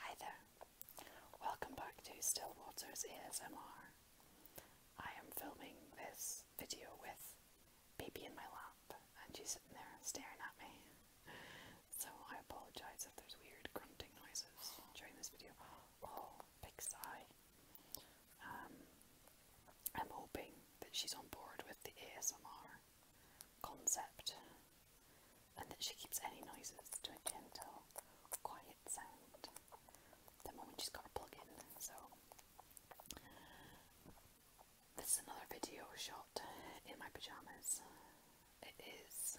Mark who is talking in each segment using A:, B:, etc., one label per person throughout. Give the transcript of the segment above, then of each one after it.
A: Hi there. Welcome back to Stillwater's ASMR. I am filming this video with baby in my lap and she's sitting there staring at me. So I apologise if there's weird grunting noises during this video. big oh, sigh. Um, I'm hoping that she's on board with the ASMR concept and that she keeps any noises to a gentle, quiet sound. The moment she's got her plug in, so this is another video shot in my pajamas. It is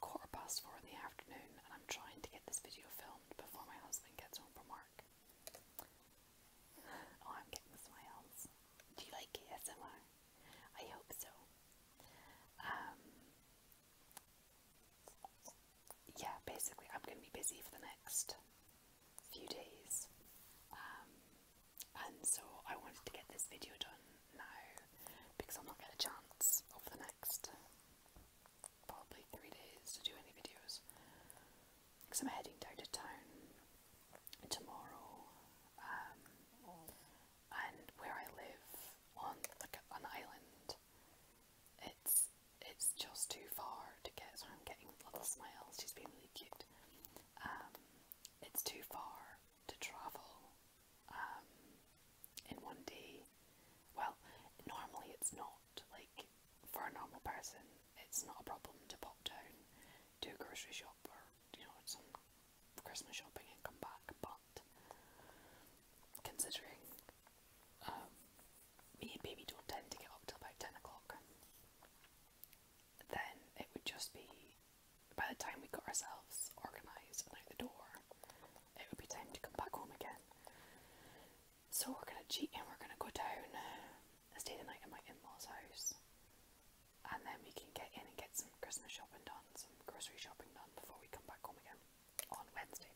A: quarter past four in the afternoon, and I'm trying to get this video filmed before my husband gets home from work. Oh, I'm getting smiles. Do you like ASMR? I hope so. Um, yeah, basically, I'm going to be busy for the next few days, um, and so I wanted to get this video done now because i am not gonna chance over the next probably three days to do any videos because I'm heading down to town tomorrow, um, and where I live on like an island, it's it's just too far to get. So getting little smiles. She's been really cute. Um, it's too far to travel um, in one day. Well, normally it's not like for a normal person, it's not a problem to pop down, to a grocery shop or you know, some Christmas shopping and come back, but considering um, me and baby don't tend to get up till about 10 o'clock, then it would just be by the time we got ourselves organised and out the door, it would be time to come back home again. So we're gonna cheat and we're gonna go down uh, stay the night at my in law's house and then we can get in and get some Christmas shopping done, some grocery shopping done before we come back home again on Wednesday.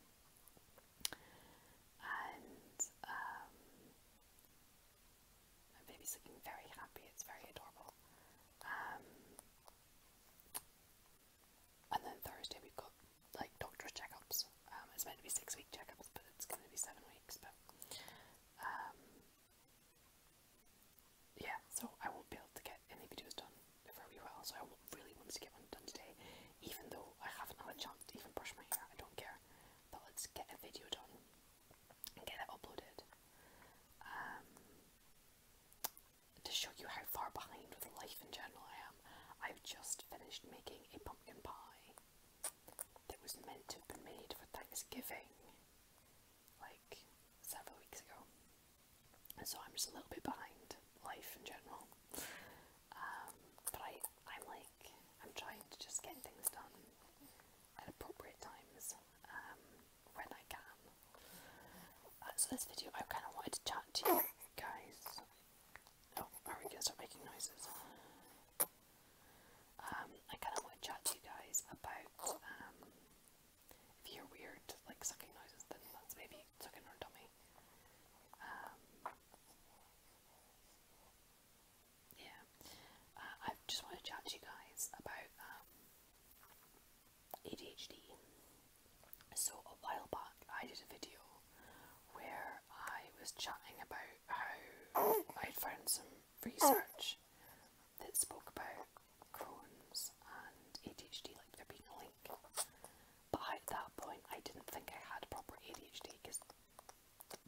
A: And um, baby's looking very happy, it's very adorable. Um, and then Thursday we've got like doctor's checkups. Um, it's meant to be six week checkups, but it's going to be seven weeks. But yeah, so I won't be able to get any videos done very well, so I really want to get one done today, even though I haven't had to even brush my hair, I don't care. But let's get a video done and get it uploaded. Um, to show you how far behind with life in general I am, I've just finished making a pumpkin pie that was meant to be made for Thanksgiving like several weeks ago. so I'm just a little bit behind life in general. Um, but I, I'm like, I'm trying to just get things done at appropriate times um, when I can. Uh, so this video, I kind of wanted to chat to you guys. Oh, are we gonna start making noises? Um, I kind of want to chat to you guys about um, if you hear weird like sucking noises, then that's maybe sucking her tummy. Um, yeah, uh, I just want to chat to you guys about um, ADHD. So a while back, I did a video where I was chatting about how I'd found some research that spoke about Crohn's and ADHD, like there being a link. But at that point, I didn't think I had proper ADHD because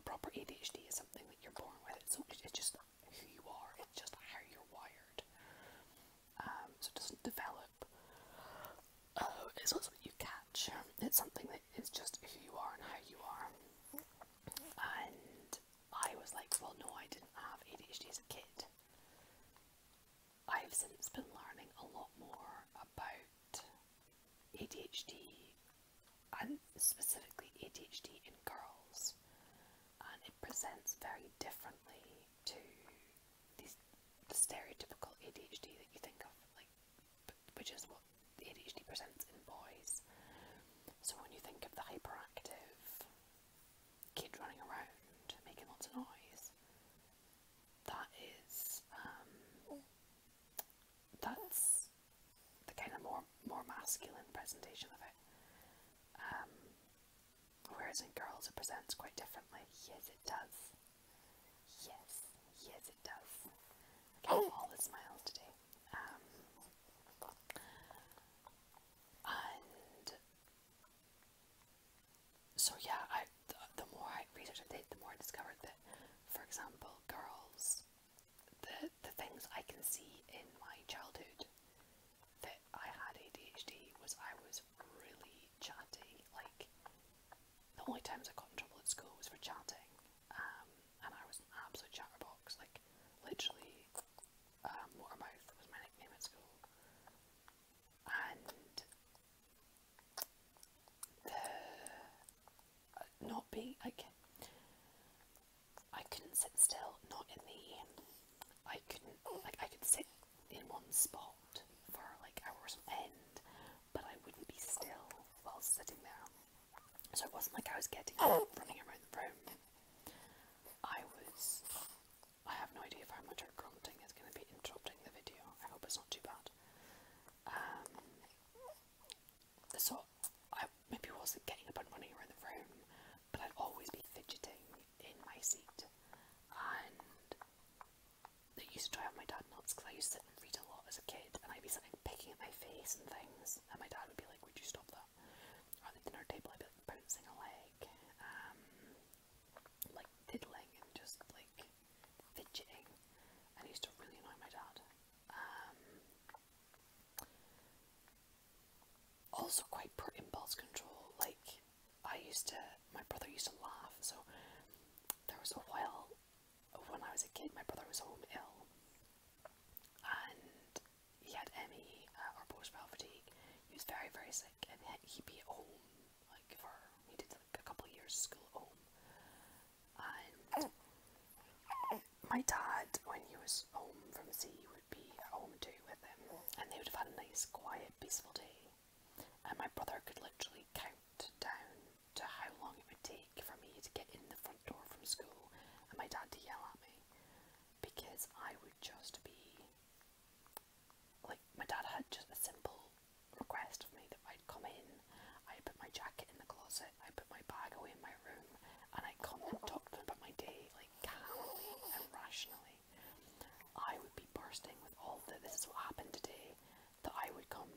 A: proper ADHD is something that you're born with. It's, it's just who you are. It's just how you're wired. Um, so it doesn't develop. Oh, it's not something you catch. It's something that is just who you are and how you are. And I was like, well, no, I didn't have ADHD as a kid. I've since been learning a lot more about ADHD and specifically ADHD in girls, and it presents very differently to the stereotypical ADHD that you think of, like, which is what ADHD presents in boys. So when you think of the hyperactive kid running around making lots of noise, that is um, that's the kind of more more masculine presentation of it. Um, whereas in girls it presents quite differently. Yes, it does. Yes, yes, it does. I oh! all the smiles today. Um, and so yeah, I the, more I research I did, the more I discovered that, for example, girls, the the things I can see in my childhood that I had ADHD was I was really chatty. Like the only times I got in trouble at school was for chatting, um, and I was an absolute chatterbox, like, literally, um, was my nickname at school, and uh, not being, like, I couldn't sit still, not in the, I couldn't, like, I could sit in one spot for, like, hours on end, but I wouldn't be still while sitting there. So it wasn't like I was getting up running around the room. I was. I have no idea if how much her grunting is going to be interrupting the video. I hope it's not too bad. Um, so I maybe wasn't getting up and running around the room, but I'd always be fidgeting in my seat. And I used to try drive my dad nuts because I used to sit and read a lot as a kid, and I'd be something picking at my face and things, and my dad would be like, "Would you stop that?" on the dinner table, I'd be bouncing a leg, um, like diddling and just like fidgeting, and used to really annoy my dad. Um, also quite poor impulse control, like I used to, my brother used to laugh, so there was a while when I was a kid, my brother was home ill, and he had ME uh, or post fatigue. He was very very sick, and he'd be at home like for he did like a couple years of school at home. And my dad, when he was home from sea, would be at home too with him, and they would have had a nice, quiet, peaceful day. And my brother could literally count down to how long it would take for me to get in the front door from school, and my dad to yell at me because I would just be like my dad had just a simple request of me that I'd come in, i put my jacket in the closet, i put my bag away in my room, and I'd come and talk to him about my day, like calmly and rationally. I would be bursting with all the this is what happened today, that I would come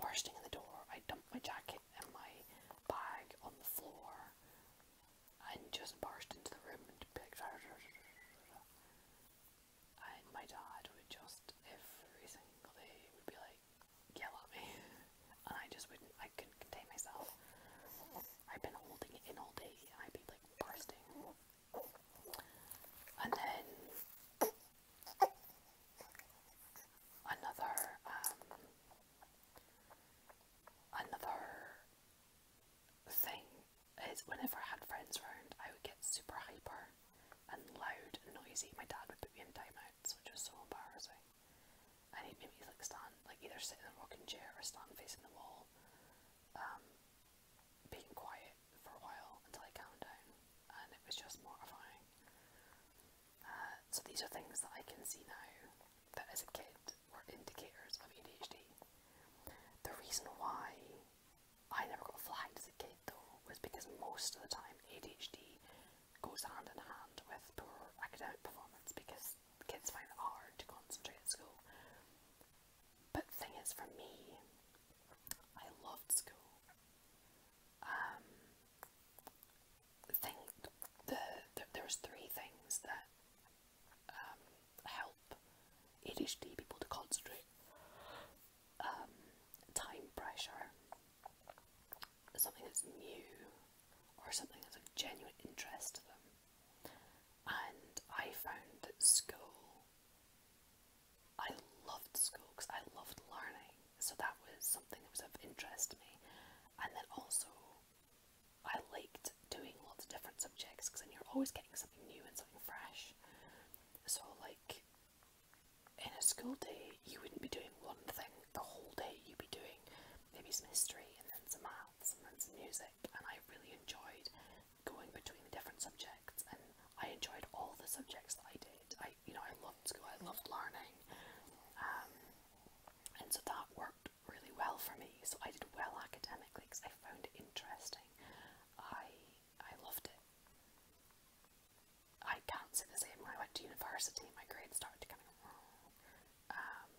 A: bursting in the door, I'd dump my jacket and my bag on the floor, and just burst into the room and be like, and my dad would just every single day would be like, yell at me, and I just wouldn't, I couldn't contain myself. I've been holding it in all day, and I'd be like bursting. And then another um, Another thing is whenever I had friends around, I would get super hyper and loud and noisy. My dad would put me in timeouts, which was so embarrassing. And he'd me like stand, like either sit in a rocking chair or stand facing the wall, um, being quiet for a while until I calmed and it was just mortifying. Uh, so these are things that I can see now that as a kid were indicators of ADHD. The reason why I never got flagged as a kid though was because most of the time ADHD goes hand in hand with poor academic performance because kids find it hard to concentrate at school. But the thing is for me, I loved school. Um, think the, the there's three things that um, help ADHD people to concentrate. Um, time pressure, something that's new, or something that's of genuine interest to them. And I found that school, I loved school because I loved learning so that was something that was of interest to me. And then also, I liked doing lots of different subjects because then you're always getting something new and something fresh. So, like, in a school day, you wouldn't be doing one thing the whole day, you'd be doing maybe some history and then some maths and then some music. And I really enjoyed going between the different subjects, and I enjoyed all the subjects that I did. I, you know, I loved school, I loved learning. Um, and so that worked really well for me. So I did well academically because I found it interesting. I I loved it. I can't say the same when I went to university. My grades started to kind of um,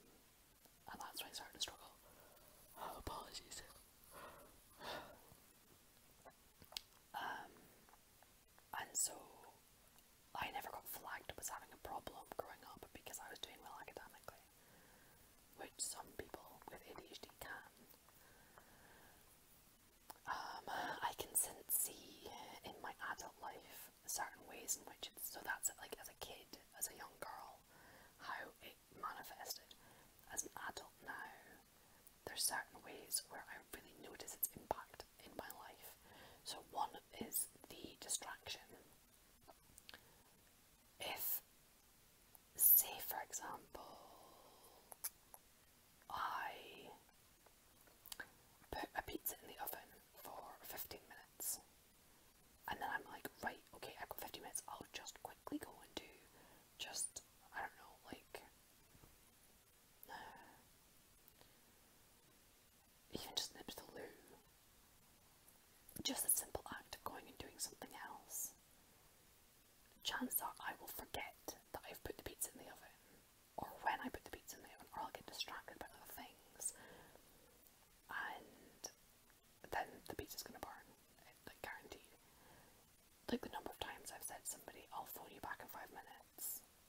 A: and that's when I started to struggle. Oh, apologies. Um, and so I never got flagged I was having a problem growing up because I was doing well academically, which some people with ADHD can. Um, I can sense see in my adult life certain ways in which so that's like as a kid, as a young girl, how it manifested. As an adult now, there's certain ways where I really notice its impact in my life. So, one is the distraction. If, say, for example, I put a pizza in the oven for 15 minutes, and then I'm like, right, okay, I've got 15 minutes, I'll just quickly go and do just, I don't know, like. Uh, even just nip to the loo. Just the simple act of going and doing something else. Chances are I will forget that I've put the pizza in the oven, or when I put the pizza in the oven, or I'll get distracted by other things, and then the pizza is gonna burn, like guaranteed. Like the number of times I've said somebody, I'll phone you back in five minutes,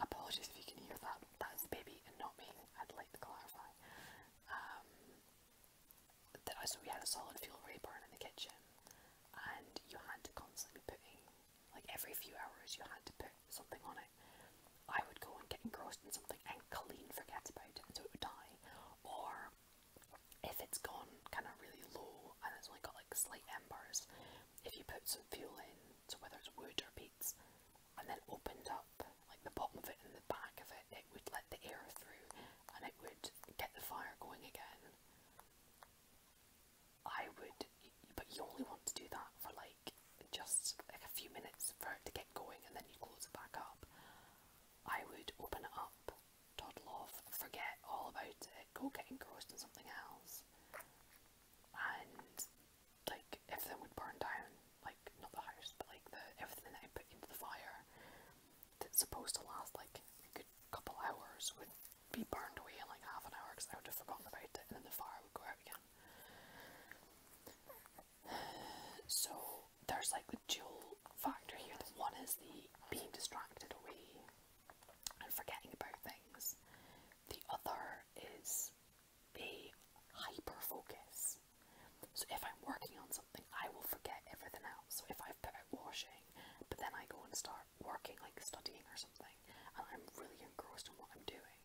A: apologies if you can hear that. That's the baby and not me. I'd like to clarify. Um, that, so we had a solid fuel ray burn in the kitchen, and you had to constantly be putting, like every few hours, you had to put something on it. I would go and get engrossed in something and clean forget about it until it would die, or if it's gone kind of really low and it's only got like slight embers, if you put some fuel in, so whether it's wood or peats, and then opened up like the bottom of it and the back of it, it would let the air through and it would get the fire going again. I would, but you only want to do that for like just like a few minutes for it to get going and then you close it back up. I would open it up, toddle off, forget all about it, go get engrossed in something else, and like if they would burn down, like not the house, but like the everything that I put into the fire that's supposed to last like a good couple hours would be burned away in like half an hour because I would have forgotten about it, and then the fire would go out again. So there's like the dual factor here. The one is the being distracted away and forgetting about things. The other is a hyper So if I'm working on something, I will forget everything else. So if I've put out washing, but then I go and start working, like studying or something, and I'm really engrossed in what I'm doing,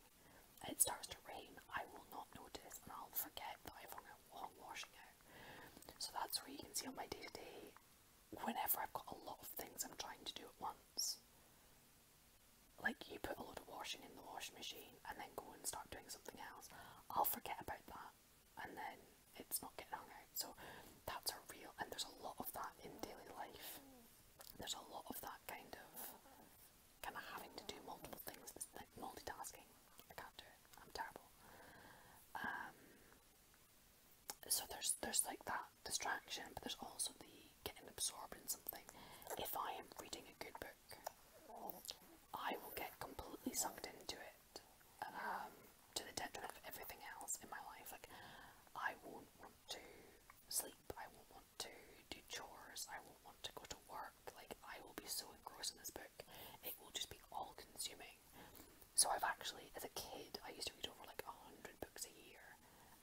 A: it starts to rain, I will not notice and I'll forget that I've hung out washing out. So that's where you can see on my day to day, whenever I've got a lot of things I'm trying to do at once, like you put a lot of washing in the washing machine and then go and start doing something else, I'll forget about that and then it's not getting hung out. So that's a real, and there's a lot of that in daily life. There's a lot of that kind of, kind of having to do multiple things, like multitasking. I can't do it. I'm terrible. Um, so there's there's like that distraction, but there's also the getting absorbed in something. If I am reading a good book I will get completely sucked into it, um, to the detriment of everything else in my life. Like, I won't want to sleep, I won't want to do chores, I won't want to go to work. Like, I will be so engrossed in this book, it will just be all consuming. So, I've actually, as a kid, I used to read over like a hundred books a year.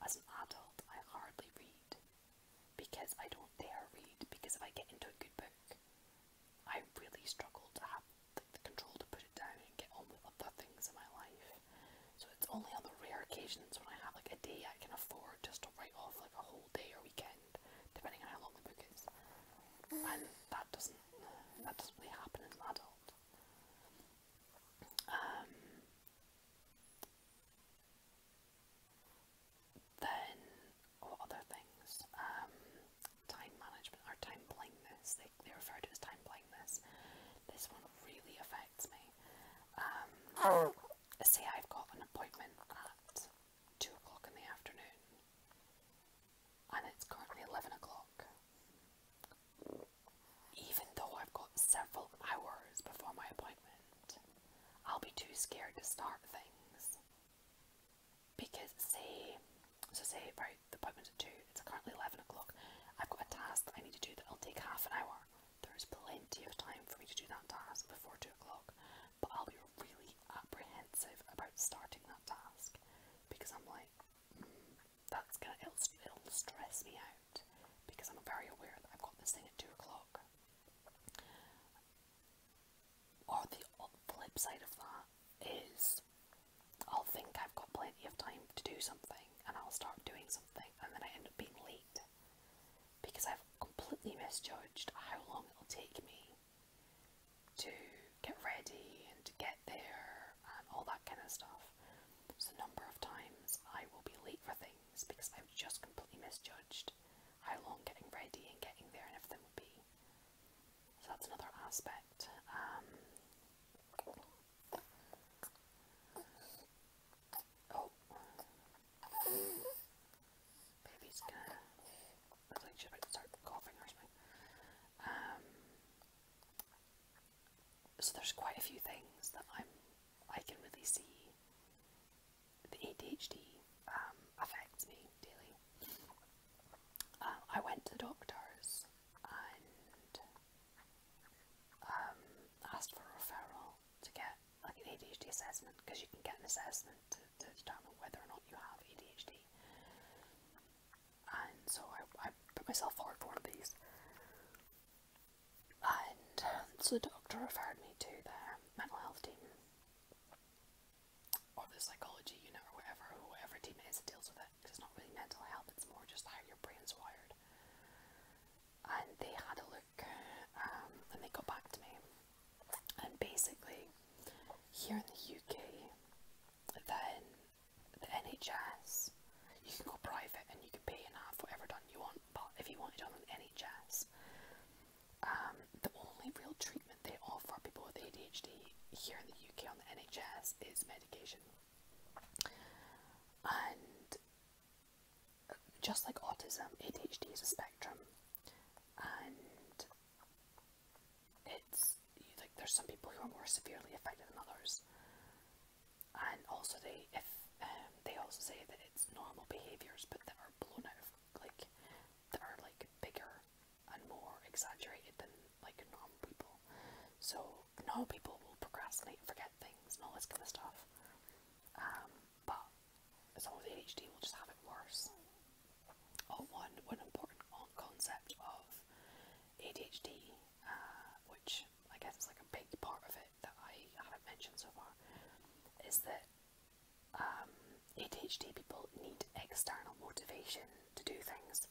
A: As an adult, I hardly read because I don't dare read. Because if I get into a good book, I really struggle to have the control to put it down and get on with other things in my life. So it's only on the rare occasions when I have like a day I can afford just to write off like a whole day or weekend, depending on how long the book is. And that doesn't that doesn't really happen as an adult. Um, then, what other things? Um, time management or time blindness. They, refer to as time blindness. This one really affects me. Um, I've got an appointment at 2 o'clock in the afternoon and it's currently 11 o'clock. Even though I've got several hours before my appointment. I'll be too scared to start things. Because see, so say, right, the appointment's at 2, it's currently 11 o'clock, I've got a task that I need to do that'll take half an hour. There's plenty of time for me to do that task before 2 o'clock, but I'll be really apprehensive about starting that task because I'm like, hmm, that's gonna, it'll, it'll stress me out because I'm very aware that I've got this thing at 2 o'clock or the flip side of that is I'll think I've got plenty of time to do something and I'll start doing something and then I end up being late because I've completely misjudged how long it'll take me to get ready and to get there and all that kind of stuff. So number of times I will be late for things because I've just completely misjudged how long getting ready and getting there and everything would be. So that's another aspect. Um, oh, baby's gonna looks like she's about to start coughing or something. Um, so there's quite a few things that I'm I can really see the ADHD um, affects me daily. Um, I went to the doctors and um, asked for a referral to get like an ADHD assessment because you can get an assessment to, determine whether or not you have ADHD. And so I put myself forward for one of these and um, so the doctor referred me to the mental health team or the psychology unit or whatever, whatever team it is that deals with it. It's not really mental health, it's more just how your brain's wired. And they had a look um, and they got back to me. And basically, here in the UK, then the NHS, you can go private and you can pay and have whatever done you want. But if you wanted on an NHS. Um, the only real treatment they offer people with ADHD here in the UK on the NHS is medication. And uh, just like autism, ADHD is a spectrum, and it's like there's some people who are more severely affected than others, and also they if um, they also say that it's normal behaviours, but that are blown out of like that are like bigger and more exaggerated than like normal people. So normal people will procrastinate, forget things, and all this kind of stuff. Um, but someone with ADHD will just have it worse. Oh, one one important concept of ADHD, uh, which I guess is like a big part of it, that I haven't mentioned so far is that um, ADHD people need external motivation to do things.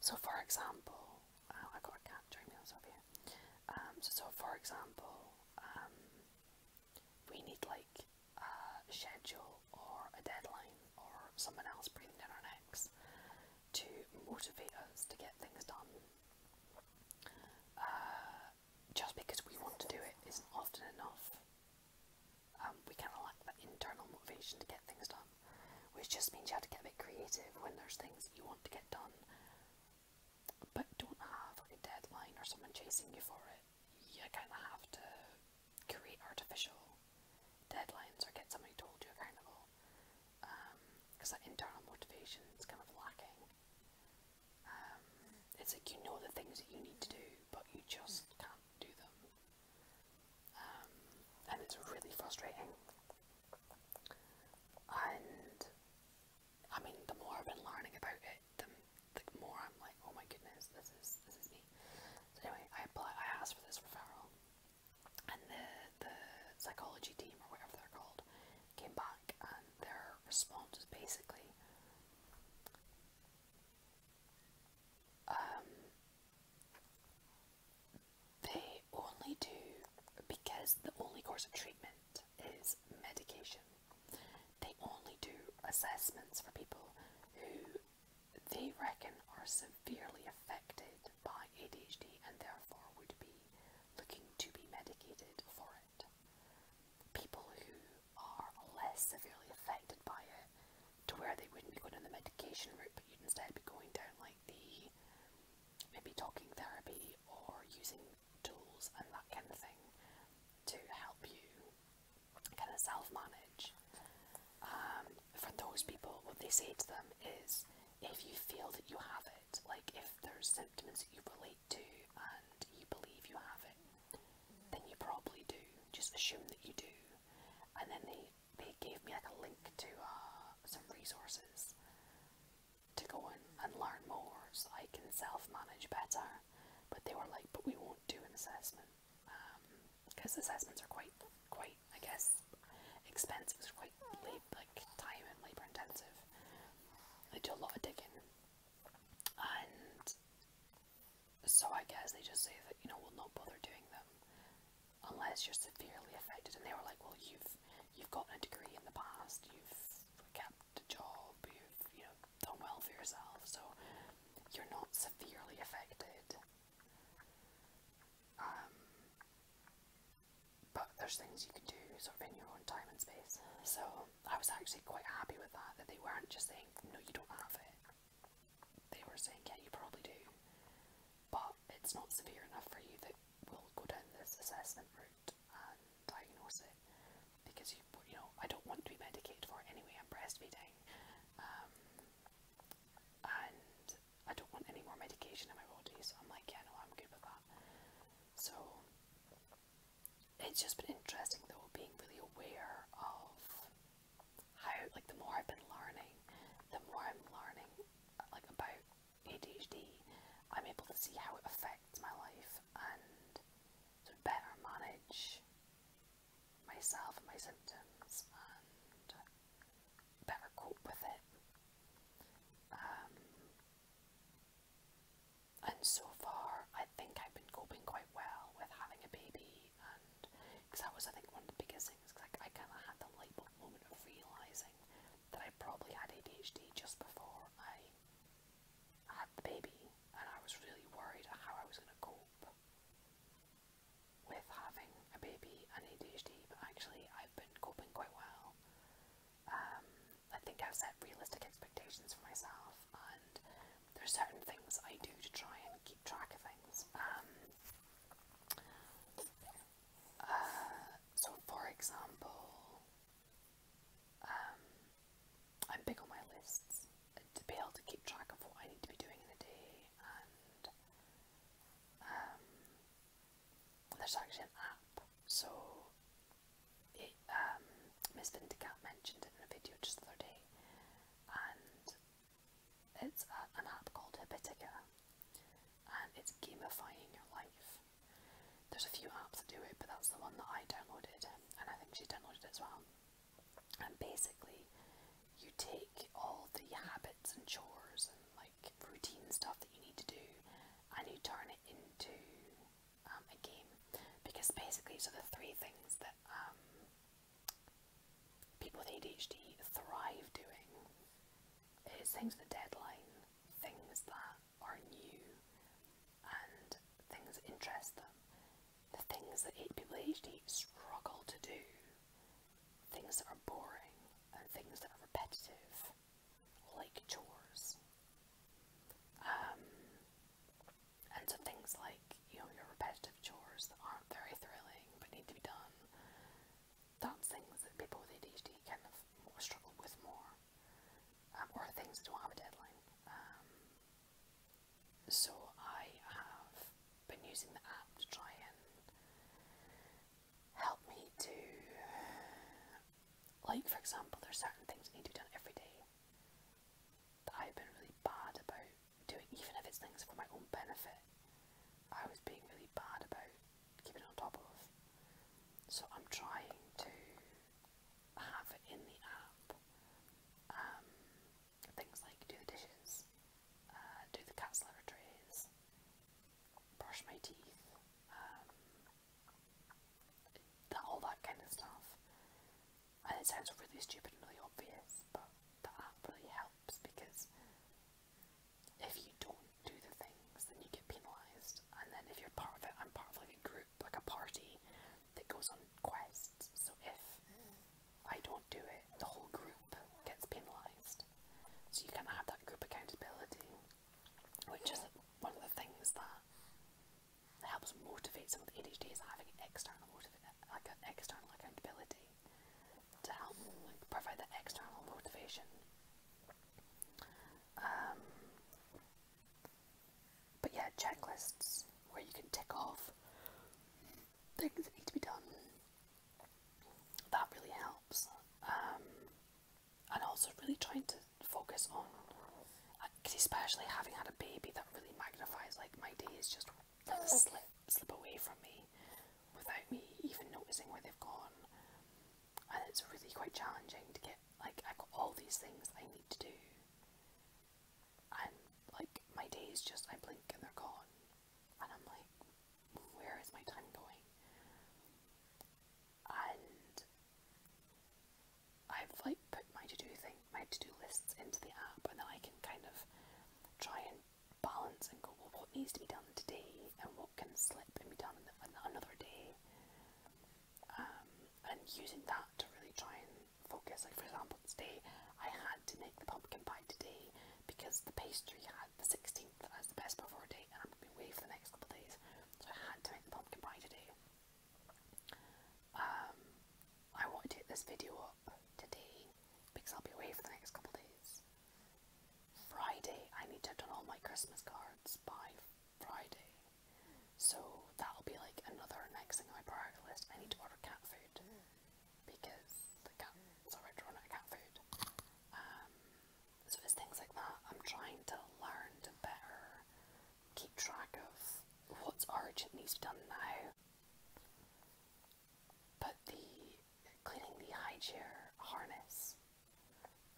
A: So, for example, uh, I got a cat during um, meals so, so, for example, um, we need like a schedule or a deadline or someone else breathing down our necks to motivate us to get things done. Uh, just because we want to do it isn't often enough. Um, we kind of lack that internal motivation to get things done, which just means you have to get a bit creative when there's things you want to get done, but don't have like a deadline or someone chasing you for it. You kind of have to create artificial deadlines or get somebody told you hold you accountable because um, that internal motivation is kind of lacking. Um, it's like you know the things that you need to do, but you just can't do them. Um, and it's really frustrating. And I mean, the more I've been learning about it, the, more I'm like, oh my goodness, this is this is me. anyway, I apply, I asked for this referral, and the the psychology team or whatever they're called came back and their response was basically um, they only do because the only course of treatment is medication. They only do assessments for people who they reckon are severely affected by ADHD and therefore would be looking to be medicated for it people who are less severely affected by it to where they wouldn't be going on the medication route but you'd instead be going down like the maybe talking therapy or using tools and that kind of thing to help you kind of self-manage. Um, for those people, what they say to them is, if you feel that you have it, like if there's symptoms that you relate to and you believe you have it, then you probably do. Just assume that you do. And then they they gave me like a link to uh, some resources to go in and learn more so I can self-manage better. But they were like, but we won't do an assessment because um, assessments are quite quite I guess expensive. It's quite like time and labor intensive. They do a lot of digging, and so I guess they just say that you know we'll not bother doing them unless you're severely affected. And they were like, well, you've you've gotten a degree in the past, you've kept a job, you've you know done well for yourself, so you're not severely affected. Um, but there's things you can do sort of in your own time and space. So I was actually quite happy with that, that they weren't just saying, no, you don't have it. They were saying, yeah, you probably do, but it's not severe enough for you that we'll go down this assessment route and diagnose it because you, you know, I don't want to be medicated for it anyway, I'm breastfeeding. Um, and I don't want any more medication in my body, so I'm like, yeah, no, I'm good with that. So it's just been interesting though being really aware of how like the more I've been learning, the more I'm learning like about ADHD, I'm able to see how it affects my life and better manage myself and my symptoms and better cope with it. Um, and so far, I think I've been coping quite well with having a baby, and because that was, I think, one of the biggest things. Cause I, kind of had the light moment of realizing that I probably had ADHD just before I had the baby, and I was really worried how I was going to cope with having a baby and ADHD. But actually, I've been coping quite well. Um, I think I've set realistic expectations for myself, and there are certain things I do to try and keep track of things. Um, uh, so, for example, um, I'm big on my lists to be able to keep track of what I need to be doing in a day, and there's actually an app. So um, Miss Vindicat mentioned it in a video just the other day, and it's an app called Habitica, and it's gamifying your life. There's a few apps that do it, but that's the one that I downloaded, and I think she downloaded as well. And basically, you take all the habits and chores and like routine stuff that you need to do, and you turn it into um, because basically, so the three things that um, people with ADHD thrive doing is things with deadline, things that are new, and things that interest them. The things that people with ADHD struggle to do, things that are boring, and things that are repetitive, like chores. Um, and so things like, you know, your repetitive chores that aren't very thrilling but need to be done, that's things that people with ADHD kind of more struggle with more, um, or things that don't have a deadline. Um, so I have been using the app to try and help me to like, for example, there's certain things you need to be done every day that I've been really bad about doing, even if it's things for my own benefit. I was being really bad about keeping on top of. So I'm trying to have it in the app. Um, things like do the dishes, uh, do the cat's litter trays, brush my teeth, um, that, all that kind of stuff. And it sounds really stupid and really obvious, but that app really helps because if you don't do the things, then you get penalised. And then if you're part of it, I'm part of like a group, like a party that goes on quests. So if I don't do it, the whole group gets penalised. So you kind of have that group accountability, which is one of the things that it helps motivate some of the ADHDs having an external like an external accountability to help like, provide that external motivation. Um, but yeah, checklists where you can tick off things that need to be done. That really helps. Um, and also really trying to focus on especially having had a baby that really magnifies like my days just like, slip slip away from me without me even noticing where they've gone and it's really quite challenging to get like I've got all these things I need to do and like my days just I blink and they're gone and I'm like where is my time going and I've like put my to-do thing, my to-do lists into the app, and then I can kind of try and balance and go, well, what needs to be done today, and what can slip and be done another day, um, and using that to really try and focus. Like for example, today I had to make the pumpkin pie today because the pastry had the 16th as the best before date, and I'm gonna be away for the next couple of days, so I had to make the pumpkin pie today. Um, I want to take this video up today because I'll be away for the next couple days. Friday, I need to have done all my Christmas cards by Friday, so that'll be like another next thing on my priority list. I need to order cat food because the cat's already run out of cat food. Um, so it's things like that. I'm trying to learn to better keep track of what's urgent needs done now. But the cleaning the high chair harness,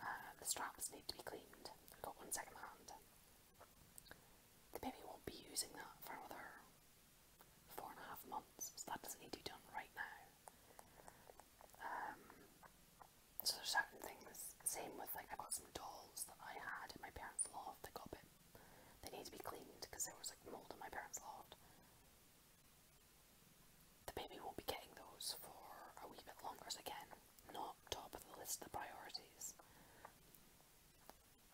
A: uh, the straps need to be cleaned. got one second hand. The baby won't be using that for another four and a half months, so that doesn't need to be done right now. Um, so there's certain things. Same with like i got some dolls that I had in my parents' loft that got bit. They need to be cleaned because there was like mold in my parents' loft. The baby won't be getting those for a wee bit longer. So again, not top of the list of the priorities.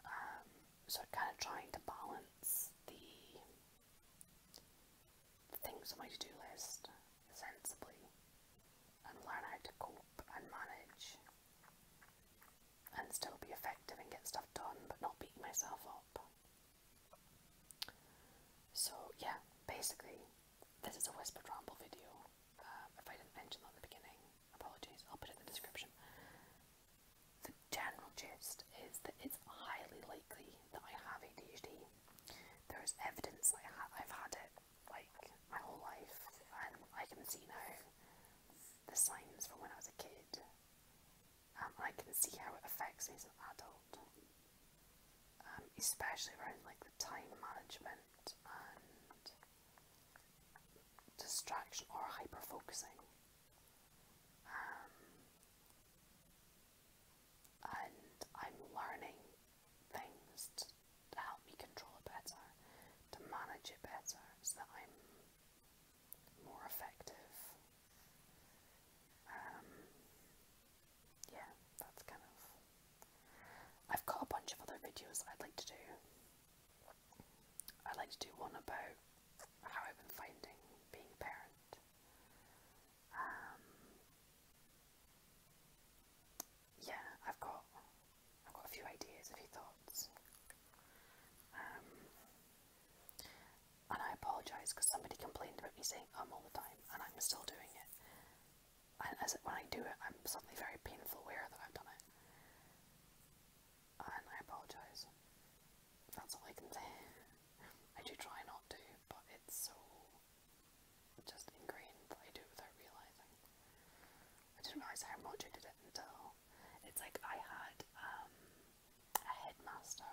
A: Um, so kind of trying to balance the things on my to-do list sensibly and learn how to cope and manage and still be effective and get stuff done but not beat myself up. So, yeah, basically, this is a whispered ramble video. Um, if I didn't mention that at the beginning, apologies, I'll put it in the description. The general gist is that it's highly likely that I have ADHD. There is evidence that I ha I've had it like my whole life, and I can see now the signs from when I was a kid. Um, I can see how it affects me as an adult, um, especially around like the time management and distraction or hyper focusing. Um, and I'm learning things to help me control it better, to manage it better, so that I'm more effective. Um, yeah, that's kind of. I've got a bunch of other videos I'd like to do. I'd like to do one about how I've been finding being a parent. Um, yeah, I've got I've got a few ideas, a few thoughts. Um, and I apologise because somebody complained about me saying I'm um all the time, and I'm still doing it. And as it, when I do it, I'm suddenly very painful aware that I've done it. And I apologise. That's all I can say. I do try not to, but it's so just ingrained I do without realizing. I didn't realize how much I did it until it's like I had um, a headmaster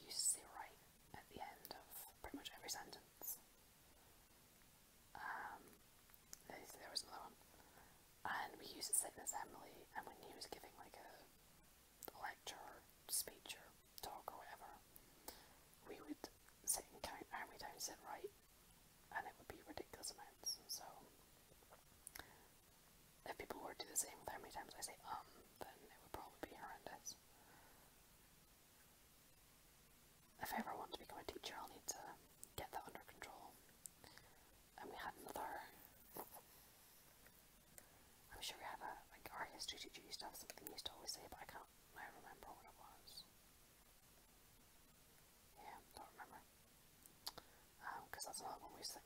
A: You used to right at the end of pretty much every sentence. Um, there was another one, and we used it at an assembly, and when he was giving like a lecture or speech or talk or whatever, we would sit and count how many times sit right and it would be ridiculous amounts. So, if people were to do the same with how many times I say um, then it would probably be horrendous. If I ever want to become a teacher, I'll need to get that under control. And we had another. I'm sure we had a like our history teacher used to have something he used to always say, but I can't now remember what it was. Yeah, don't remember. because um, that's another one we used how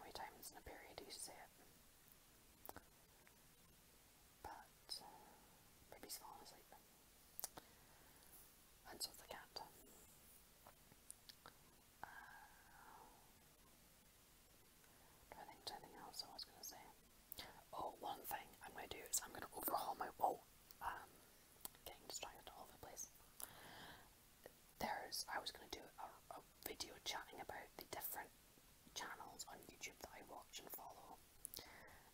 A: many times in a period you say it. But, uh, baby's fallen asleep. And so's the cat. Uh, I think anything else I was going to say. Oh, one thing I'm going to do is I'm going to overhaul my wall. Um, getting distracted over the There's, I was going to do a, a video chatting about the different channels on YouTube that I watch and follow.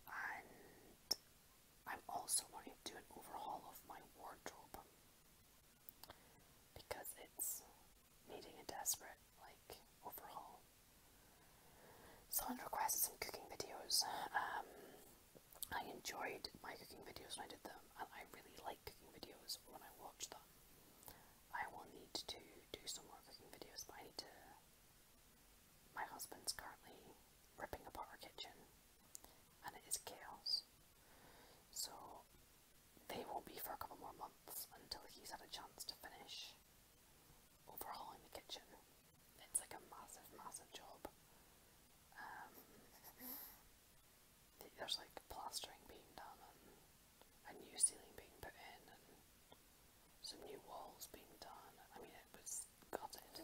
A: And I'm also wanting to do an overhaul of my wardrobe. Because it's needing a desperate, like, overhaul. Someone requested some cooking videos. Um, I enjoyed my cooking videos when I did them, and I really like cooking videos when I watch them. I will need to do some more cooking videos, but I need to. My husband's currently ripping apart our kitchen, and it is chaos. So they won't be for a couple more months until he's had a chance to finish overhauling the kitchen it's like a massive, massive job. Um, there's like plastering being done and a new ceiling being put in and some new walls being done. I mean, it was gutted.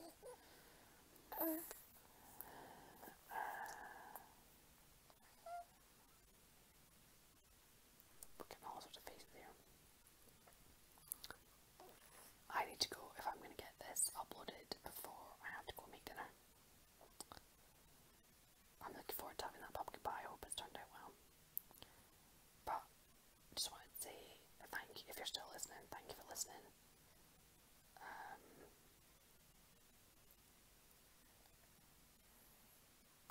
A: Uh, we're getting all sorts of faces here. I need to go if I'm going to get this uploaded before I have to go make dinner. I'm looking forward to having that pumpkin pie. I hope it's turned out well. But just wanted to say thank you if you're still listening. Thank you for listening. Um,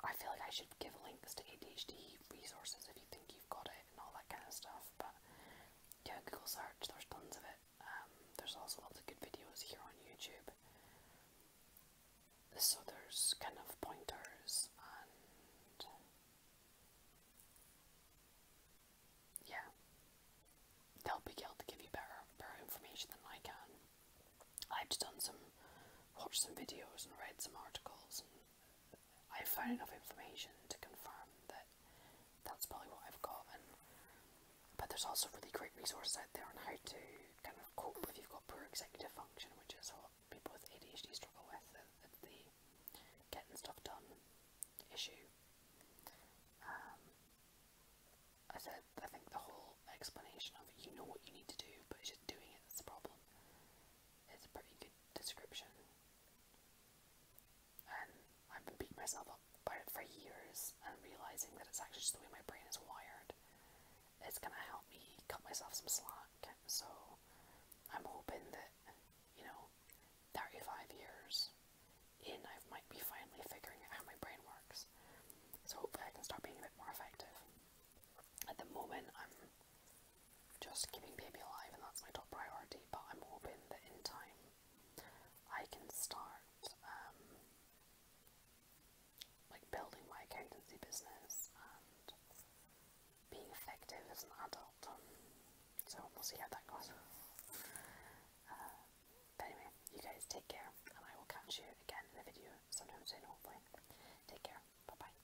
A: I feel like I should give links to ADHD resources if you think you've got it and all that kind of stuff. But yeah, Google search, there's tons of it. Um, there's also lots of good videos here on YouTube. So there's kind of pointers and yeah, they'll be able to give you better, better information than I can. I've done some, watched some videos and read some articles I have found enough information to confirm that that's probably what I've got. And, but there's also really great resources out there on how to kind of cope if you've got poor executive function, which is what people with ADHD struggle with, uh, uh, the, getting stuff done issue. Um, I said, I think the whole explanation of you know what you need to do, but it's just doing it that's the problem it's a pretty good description. And I've been beating myself up about it for years and realizing that it's actually just the way my brain is wired. It's gonna help me cut myself some slack. So I'm hoping that, you know, 35 years in, I might be finally figuring out how my brain works. So hopefully I can start being a bit more effective. At the moment, I'm just keeping baby alive, and that's my top priority. But I'm hoping that in time I can start um, like building my accountancy business and being effective as an adult. Um, so we'll see how that goes. Uh, anyway, you guys take care, and I will catch you again in a video sometime soon, hopefully. Take care. Bye bye.